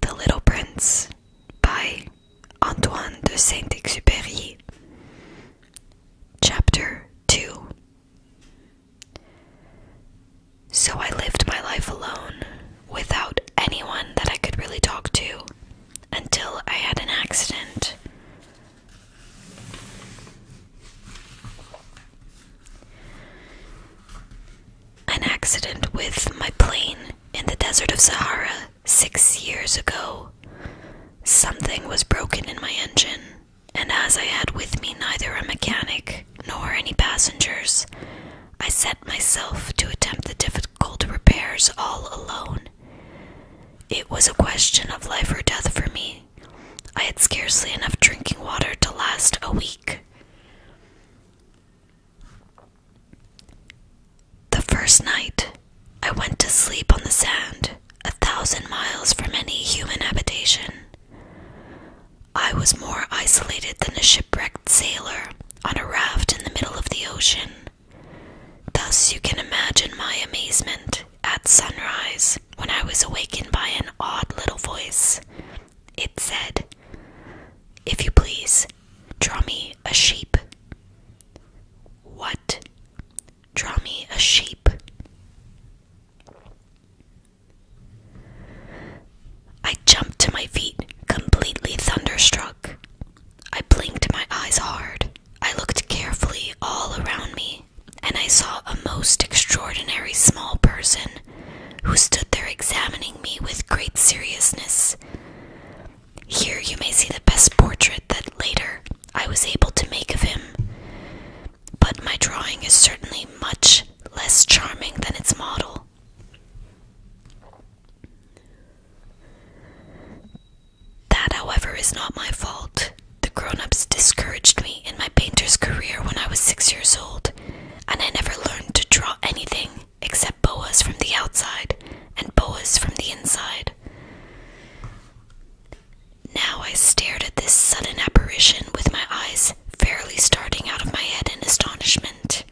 The Little Prince by Antoine de Saint Exupéry, Chapter 2. So I lived my life alone, without anyone that I could really talk to until I had an accident. An accident with my plane in the desert of Sahara six years ago. Something was broken in my engine, and as I had with me neither a mechanic nor any passengers, I set myself to attempt the difficult repairs all alone. It was a question of life or death for me. I had scarcely enough drinking water to last a week. The first night, I went to sleep on the sand, a thousand miles from any human habitation. I was more isolated than a shipwrecked sailor on a raft in the middle of the ocean. Thus, you can imagine my amazement at sunrise when I was awakened by an odd little voice. It said, If you please, draw me a sheep. What? Draw me a sheep. I jumped to my feet, completely thunderstruck. I blinked my eyes hard. I looked carefully all around me, and I saw a most extraordinary small person who stood there examining me with great seriousness. Here you may see the best portrait that later I was able to make of him. But my drawing is certainly much less charming than its model. That, however, is not my fault. The grown ups discouraged me in my painter's career when I was six years old, and I never learned to draw anything except boas from the outside and boas from the inside. Now I stared at this sudden apparition with my eyes fairly starting out of my head in astonishment.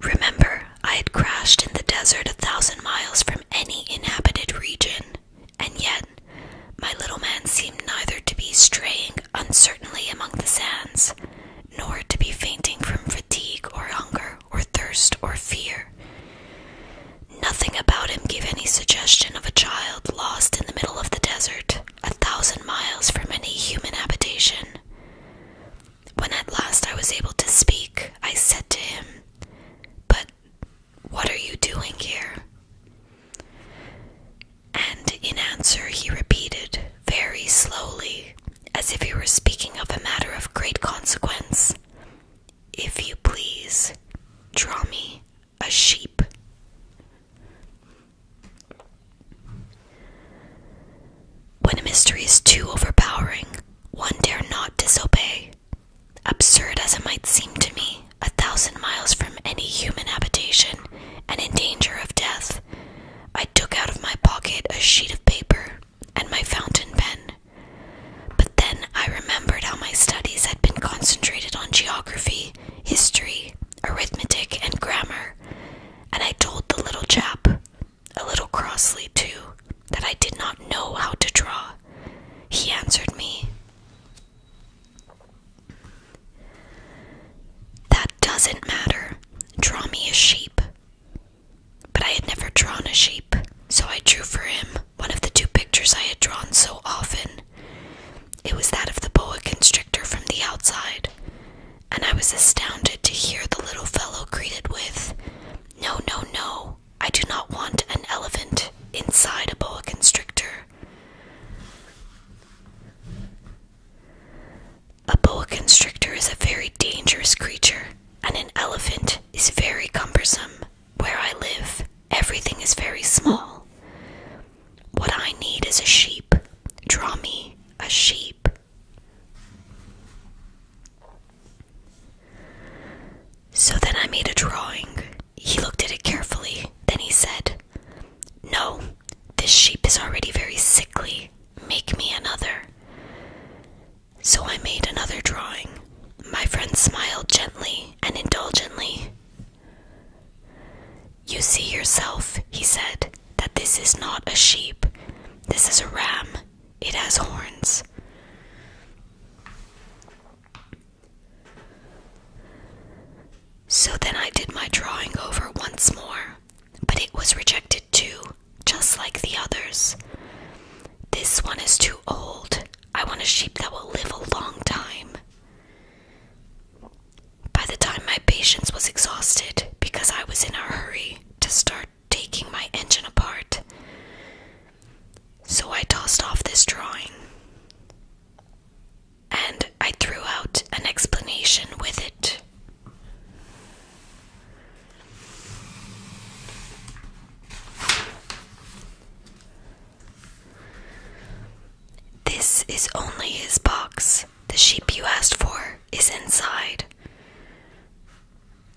Remember, I had crashed in the desert a thousand miles from any inhabited region, and yet my little man seemed neither to be straying uncertainly among the sands, nor to be fainting from fatigue or hunger or thirst or fear. Nothing about him gave any suggestion of a child lost in the middle of the desert, a thousand miles from any human habitation. When at last I was able to speak, I said to him, But what are you doing here? And in answer, he repeated, very slowly, as if he were speaking of a matter of great consequence. If you please, draw me a sheep. When a mystery is too overpowering, one dare not disobey. Absurd as it might seem to me, a thousand miles from any human habitation and in danger of death, I took out of my pocket a sheet of paper and my fountain pen. But then I remembered how my studies had been concentrated on geography, history, arithmetic, and grammar, and I told the little chap, a little crossly too, that I did not know how to draw. He answered me, That doesn't matter. Draw me a sheep. But I had never drawn a sheep, so I drew for him one of the two pictures I had drawn so often. It was that of the boa constrictor from the outside, and I was astounded to hear the little fellow greeted with, No, no, no, I do not want an elephant inside a boa constrictor. A boa constrictor is a very dangerous creature, and an elephant is very cumbersome. Where I live, everything is very small. What I need is a sheep. Draw me a sheep. So then I made a drawing. He looked at it carefully. Then he said, No, this sheep is already very sickly. Make me another. So I made another drawing. My friend smiled gently and indulgently. You see yourself, he said, that this is not a sheep. This is a ram. It has horns. So then I did my drawing over once more, but it was rejected too, just like the others. This one is too old. I want a sheep that will live a long time. By the time my patience was exhausted, because I was in a hurry to start taking my engine apart, so I tossed off this drawing and I threw out an explanation with it. This is only his box. The sheep you asked for is inside.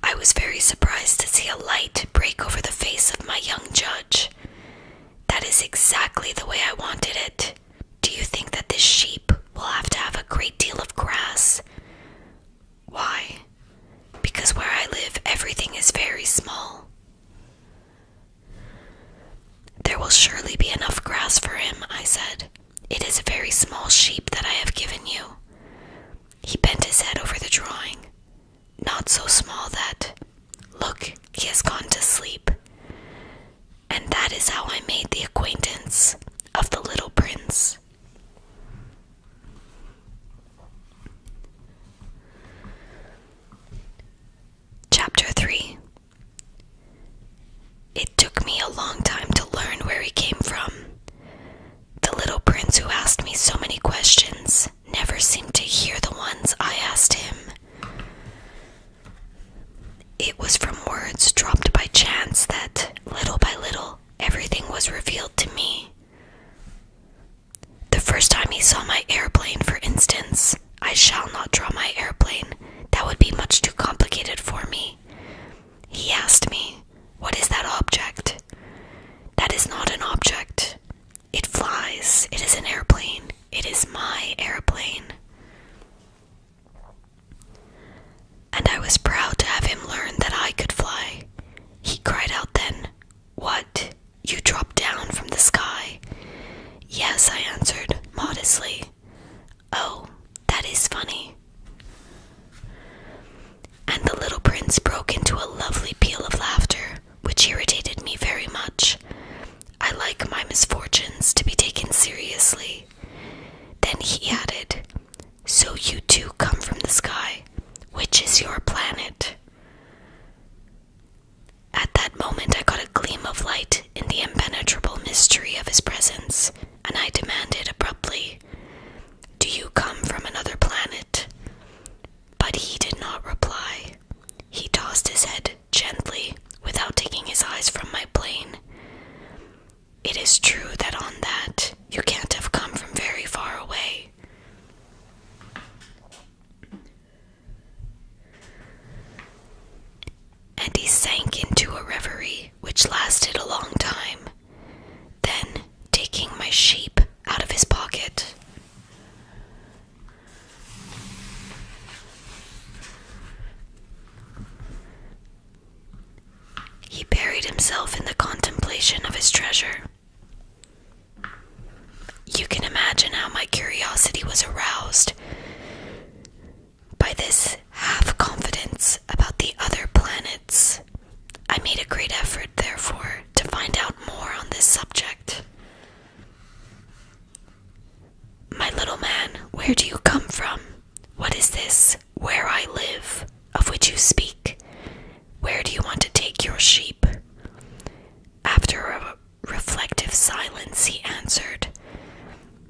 I was very surprised to see a light break over the face of my young judge. That is exactly the way I wanted it. Do you think that this sheep will have to have a great deal of grass? Why? Because where I live, everything is very small. There will surely be enough grass for him, I said. It is a very small sheep that I have given you. He bent his head over the drawing. Not so small that, look, he has gone to sleep. And that is how I made the acquaintance of the little prince. Chapter 3 It took me a long time to learn where he came from. The little prince who asked me so many questions never seemed to hear the ones I asked him. It was from words dropped by chance that, little by little, everything was revealed to me. The first time he saw my airplane, for instance, I shall not draw my airplane. That would be much too complicated for me. He asked me, What is that object? That is not an object. It flies. It is an airplane. It is my airplane. And I was proud to have him learn that I could fly. He cried out then, What? You dropped down from the sky? Yes, I answered modestly. Oh, that is funny. And the little prince broke into a lovely peal of laughter, which irritated me very much. I like my misfortunes to be taken seriously. Then he added, so you too come from the sky. Which is your planet? At that moment, I caught a gleam of light in the impenetrable mystery of his presence, and I demanded abruptly, Do you come from another planet? But he did not reply. He tossed his head gently without taking his eyes from my plane. It is true that on that you can't have come from very far away. And he sank into a reverie which lasted a long time. Then, taking my sheep out of his pocket, he buried himself in the contemplation of his treasure. You can imagine how my curiosity was aroused by this half confidence about the other planets. I made a great effort, therefore, to find out more on this subject. My little man, where do you come from? What is this? Where I live, of which you speak, where do you want to take your sheep? After a reflective silence, he answered,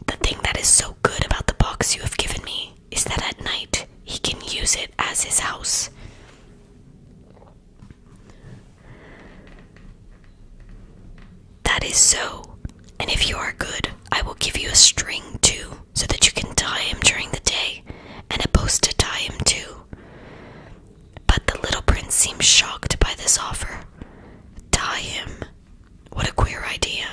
The thing that is so good about the box you have given me is that at night he can use it as his house. That is so, and if you are good, I will give you a string too, so that you can tie him during the day, and a post to tie him too. But the little prince seemed shocked by this offer. Tie him? What a queer idea.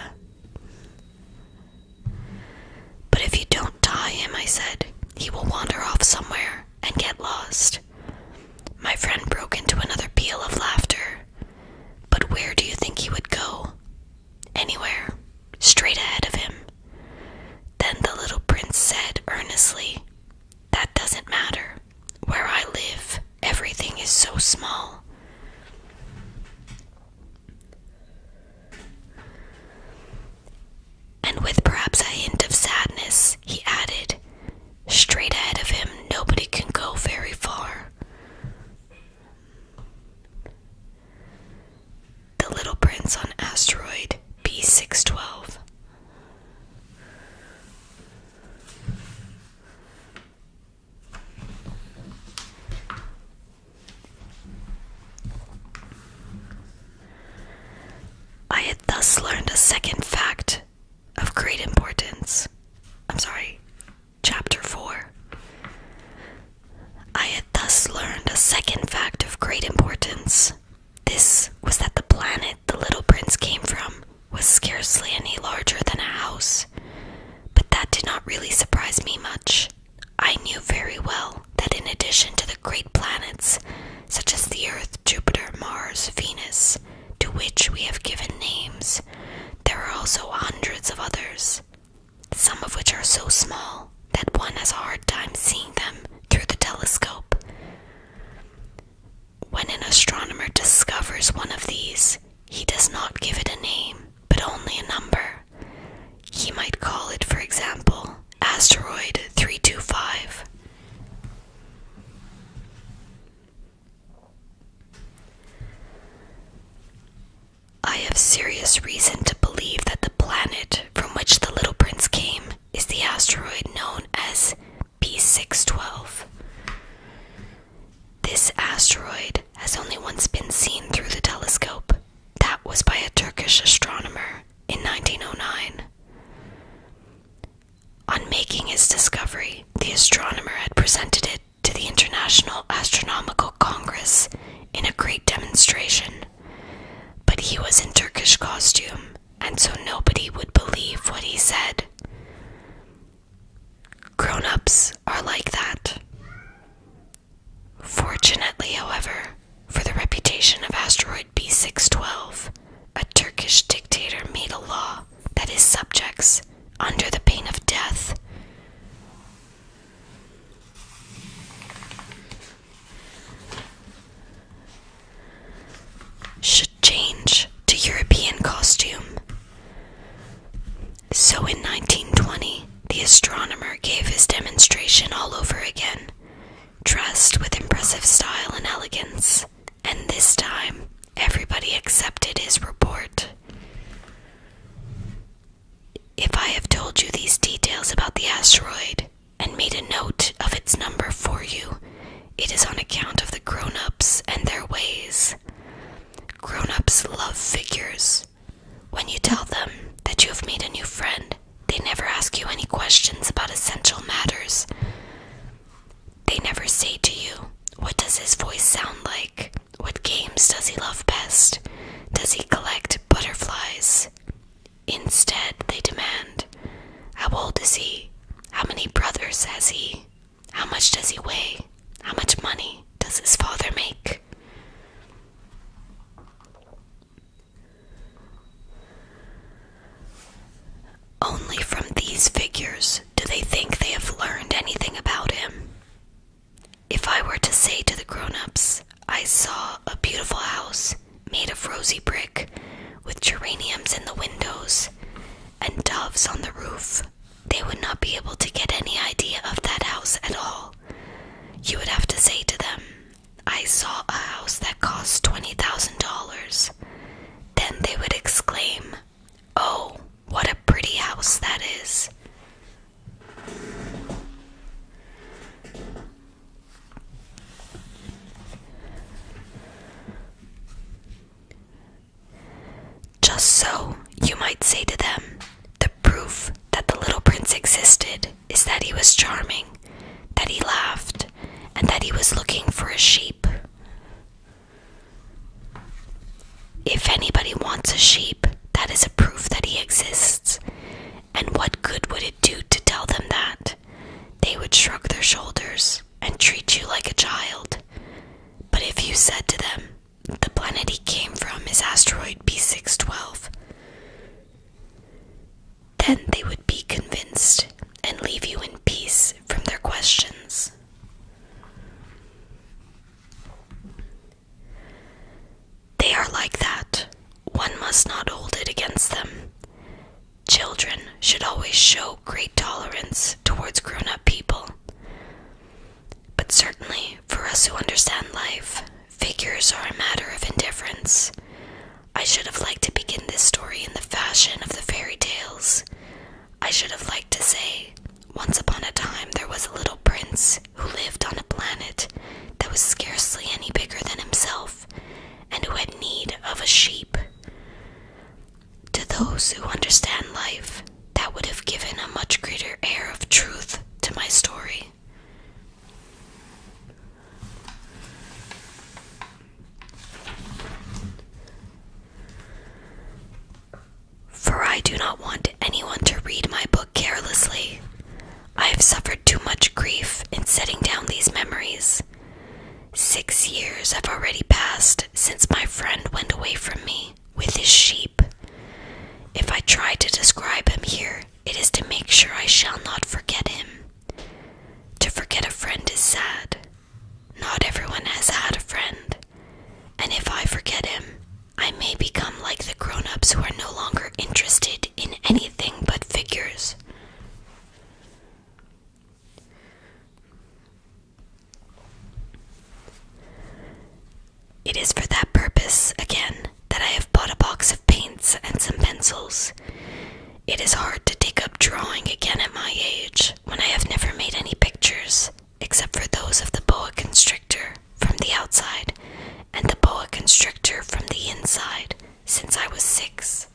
But if you don't tie him, I said, he will wander off somewhere and get lost. My friend broke into another peal of laughter. But where do you think he would go? anywhere, straight ahead of him. Then the little prince said earnestly, That doesn't matter. Where I live, everything is so small. And with perhaps a hint of sadness, he added, Straight ahead of him, nobody can go very far. The Little Prince on Asteroid B612. I had thus learned a second fact of great importance. I'm sorry, Chapter 4. I had thus learned a second fact of great importance. This was that the planet the little prince came from was scarcely any larger than a house. But that did not really surprise me much. I knew very well that in addition to the great planets, such as the Earth, Jupiter, Mars, Venus, to which we have given names, there are also hundreds of others some of which are so small that one has a hard time seeing them through the telescope. When an astronomer discovers one of these, he does not give it a name, but only a number. He might call it, for example, asteroid 325. I have serious reason to believe that the planet from which the little prince came is the asteroid known as P612. This asteroid has only once been seen through the telescope. That was by a Turkish astronomer in 1909. On making his discovery, the astronomer had presented it to the International Astronomical Congress in a great demonstration. But he was in Turkish costume, and so nobody would believe what he said. Grown ups are like that. Fortunately, however, for the reputation of asteroid B612, a Turkish dictator made a law that his subjects, under the pain of death, should change to European costume. So in 1920, the astronomer gave his demonstration all over again, dressed with impressive style and elegance, and this time everybody accepted his report. If I have told you these details about the asteroid and made a note of its number for you, it is on account of the grown ups and their ways. Grown ups love figures. When you tell them that you have made a new friend, they never ask you any questions about essential matters. They never say to you, What does his voice sound like? What games does he love best? Does he collect butterflies? Instead, they demand, How old is he? How many brothers has he? How much does he weigh? How much money does his father make? Only from these figures do they think they have learned anything about him. If I were to say to the grown ups, I saw a beautiful house made of rosy brick with geraniums in the windows and doves on the roof, they would not be able to get any idea of that house at all. You would have to say to them, I saw a house that cost $20,000. Then they would exclaim, Oh, what a pretty house that is! Just so, you might say to them, the proof that the little prince existed is that he was charming, that he laughed, and that he was looking for a sheep. If anybody wants a sheep, that is a proof that he exists. And what good would it do to tell them that? They would shrug their shoulders and treat you like a child. But if you said to them, the planet he came from is asteroid B612, then they would be convinced and leave you in peace from their questions. They are like that. One must not hold it against them. Children should always show great tolerance towards grown up people. But certainly, for us who understand life, figures are a matter of indifference. I should have liked to begin this story in the fashion of the fairy tales. I should have liked to say, Once upon a time there was a little prince who lived on a planet that was scarcely any bigger than himself and who had need of a sheep. To those who understand life, that would have given a much greater air of truth to my story. For I do not want anyone to read my book carelessly. I have suffered too much grief in setting down these memories. Six years have already passed since my friend went away from me with his sheep. If I try to describe him here, it is to make sure I shall not forget him. To forget a friend is sad. Not everyone has had a friend, and if I forget him, I may become like the grown ups who are no longer interested in anything but figures. It is for that purpose, again, that I have bought a box of paints and some pencils. It is hard to take up drawing again at my age when I have never made any pictures except for those of the boa constrictor from the outside and the boa constrictor from the inside since I was six.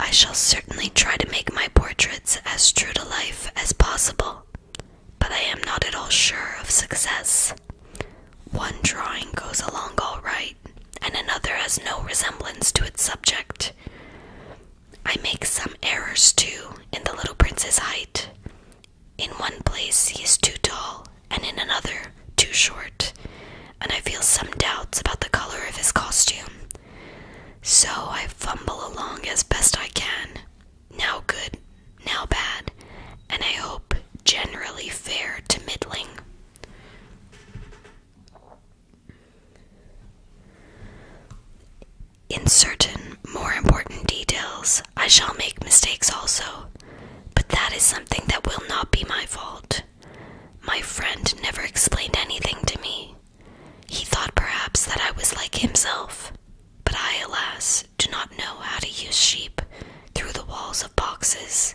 I shall certainly try to make my portraits as true to life as possible, but I am not at all sure of success. One drawing goes along all right, and another has no resemblance to its subject. I make some errors too in the little prince's height. In one place he is too tall, and in another too short, and I feel some doubts about the color of his costume. So I fumble along as best I can, now good, now bad, and I hope generally fair to middling. In certain more important details, I shall make mistakes also, but that is something that will not be my fault. My friend never explained anything to me. He thought perhaps that I was like himself, but I, alas, do not know how to use sheep through the walls of boxes.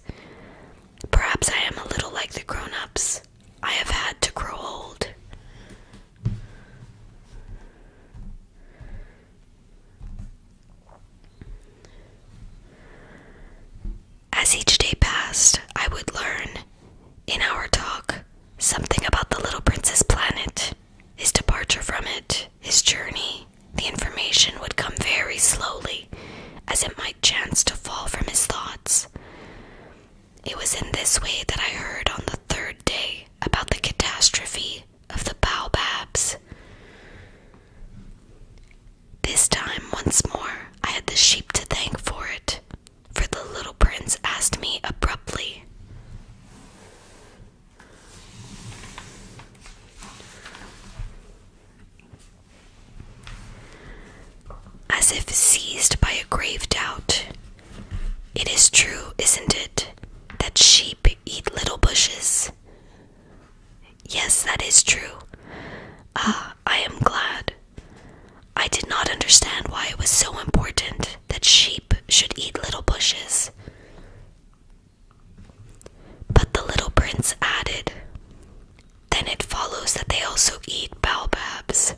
Perhaps I am a little like the grown ups. I have had to grow old. As each day passed, I would learn, in our talk, something about the little prince's planet, his departure from it, his journey. The information would come very slowly as it might chance to fall from his thoughts. It was in this way that I heard on the third day about the catastrophe of the baobabs. This time, once more, I had the sheep to thank for it, for the little prince asked me abruptly. As if seized by a grave doubt, it is true, isn't it, that sheep eat little bushes? Yes, that is true. Ah, I am glad. I did not understand why it was so important that sheep should eat little bushes. But the little prince added, then it follows that they also eat baobabs.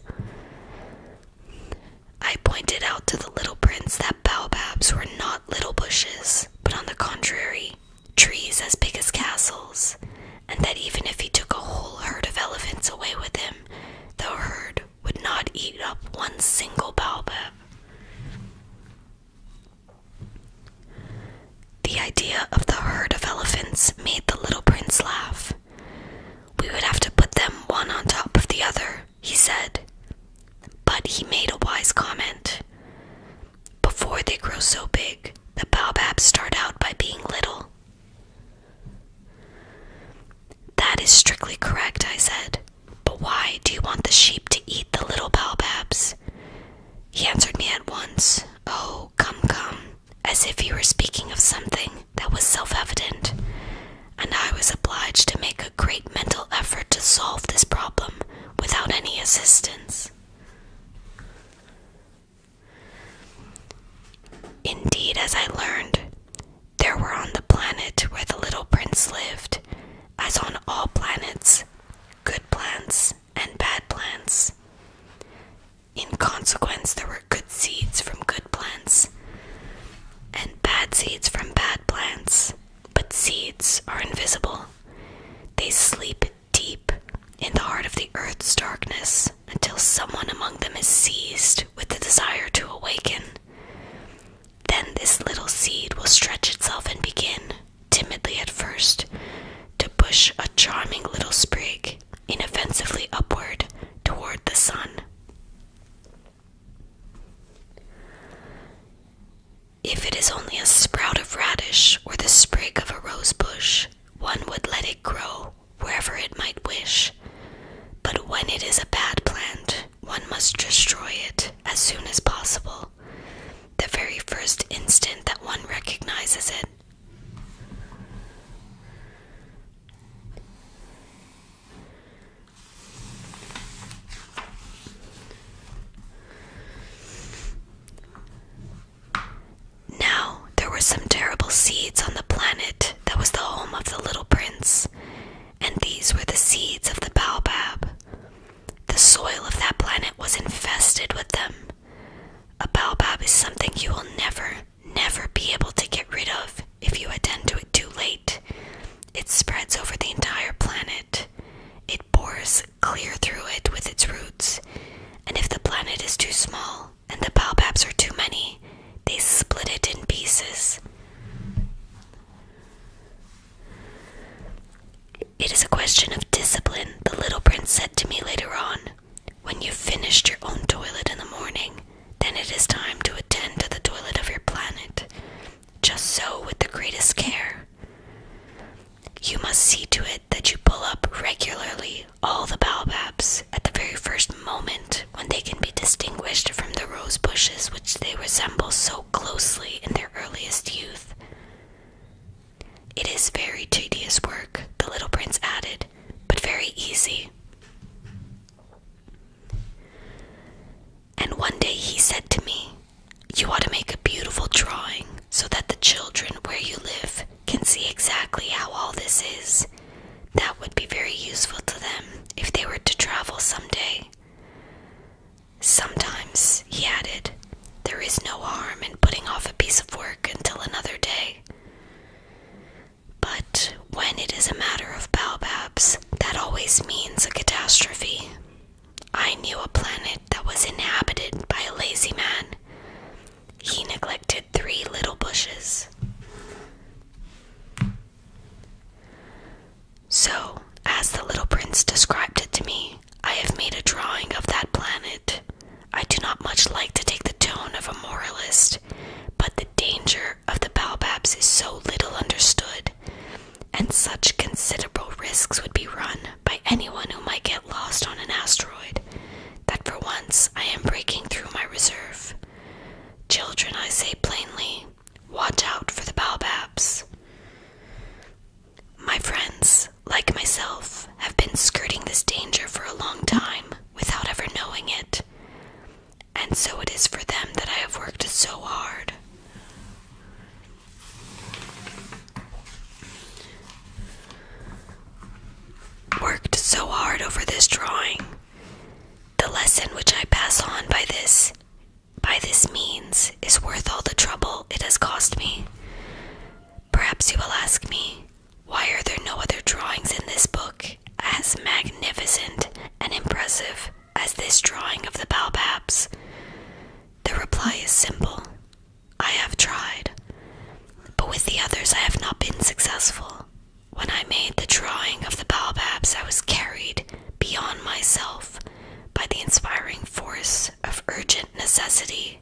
I pointed out to the little prince that baobabs were not little bushes, but on the contrary, trees as big as castles, and that even if he took a whole herd of elephants away with him, the herd would not eat up one single baobab. The idea of the herd of elephants made the little prince laugh. We would have to put them one on top of the other, he said. But he made a wise comment. Before they grow so big, the baobabs start out by being little. That is strictly correct, I said. But why do you want the sheep to eat the little baobabs? He answered me at once, Oh, come, come as if he were speaking of something that was self evident, and I was obliged to make a great mental effort to solve this problem without any assistance. Indeed, as I learned, there were on the planet where the little prince lived, as on all planets, good plants and bad plants. In consequence, there were good seeds from good plants and bad seeds from bad plants. But seeds are invisible. They sleep deep in the heart of the earth's darkness until someone among them is seized with the desire to awaken. Then this little seed will stretch itself and begin, timidly at first, to push a charming little sprig inoffensively upward toward the sun. If it is only a sprout of radish or the sprig of a rose bush, one would let it grow wherever it might wish. But when it is a bad plant, one must destroy it as soon as possible, the very first instant that one recognizes it. Now there were some terrible seeds on the planet that was the home of the little prince, and these were the seeds of the baobab. The soil of that planet was infested with them, a baobab is something you will never, never be able to get rid of if you attend to it too late. It spreads over the entire planet. It bores clear through it with its roots. And if the planet is too small and the baobabs are too many, they split it in pieces. It is a question of discipline, the little prince said to me later on. When you've finished your own toilet in the morning, then it is time to attend to the toilet of your planet. Just so with the greatest care. You must see to it that you pull up regularly all the baobabs at the very first moment when they can be distinguished from the rose bushes which they resemble so closely in their earliest youth. It is very tedious work, the little prince added, but very easy. And one day he said to me, You ought to make a beautiful drawing so that the children where you live can see exactly how all this is. That would be very useful to them if they were to travel some day.' Sometimes, he added, there is no harm in putting off a piece of work until another day. But when it is a matter of baobabs, that always means a catastrophe. I knew a planet that was inhabited by a lazy man. He neglected three little bushes. So, as the little prince described it to me, I have made a drawing of that planet. I do not much like to take the tone of a moralist, but the danger of the baobabs is so little understood, and such considerable risks would be run by anyone who might get lost on an asteroid, that for once I am breaking through my reserve. Children, I say plainly, watch out for the baobabs. My friends, like myself, have been skirting this danger for a long time without ever knowing it. And so it is for them that I have worked so hard. Worked so hard over this drawing. The lesson which I pass on by this by this means is worth all the trouble it has cost me. Perhaps you will ask me, why are there no other drawings in this book as magnificent and impressive as this drawing of the baobabs? The reply is simple I have tried, but with the others I have not been successful. When I made the drawing of the baobabs, I was carried beyond myself by the inspiring force of urgent necessity.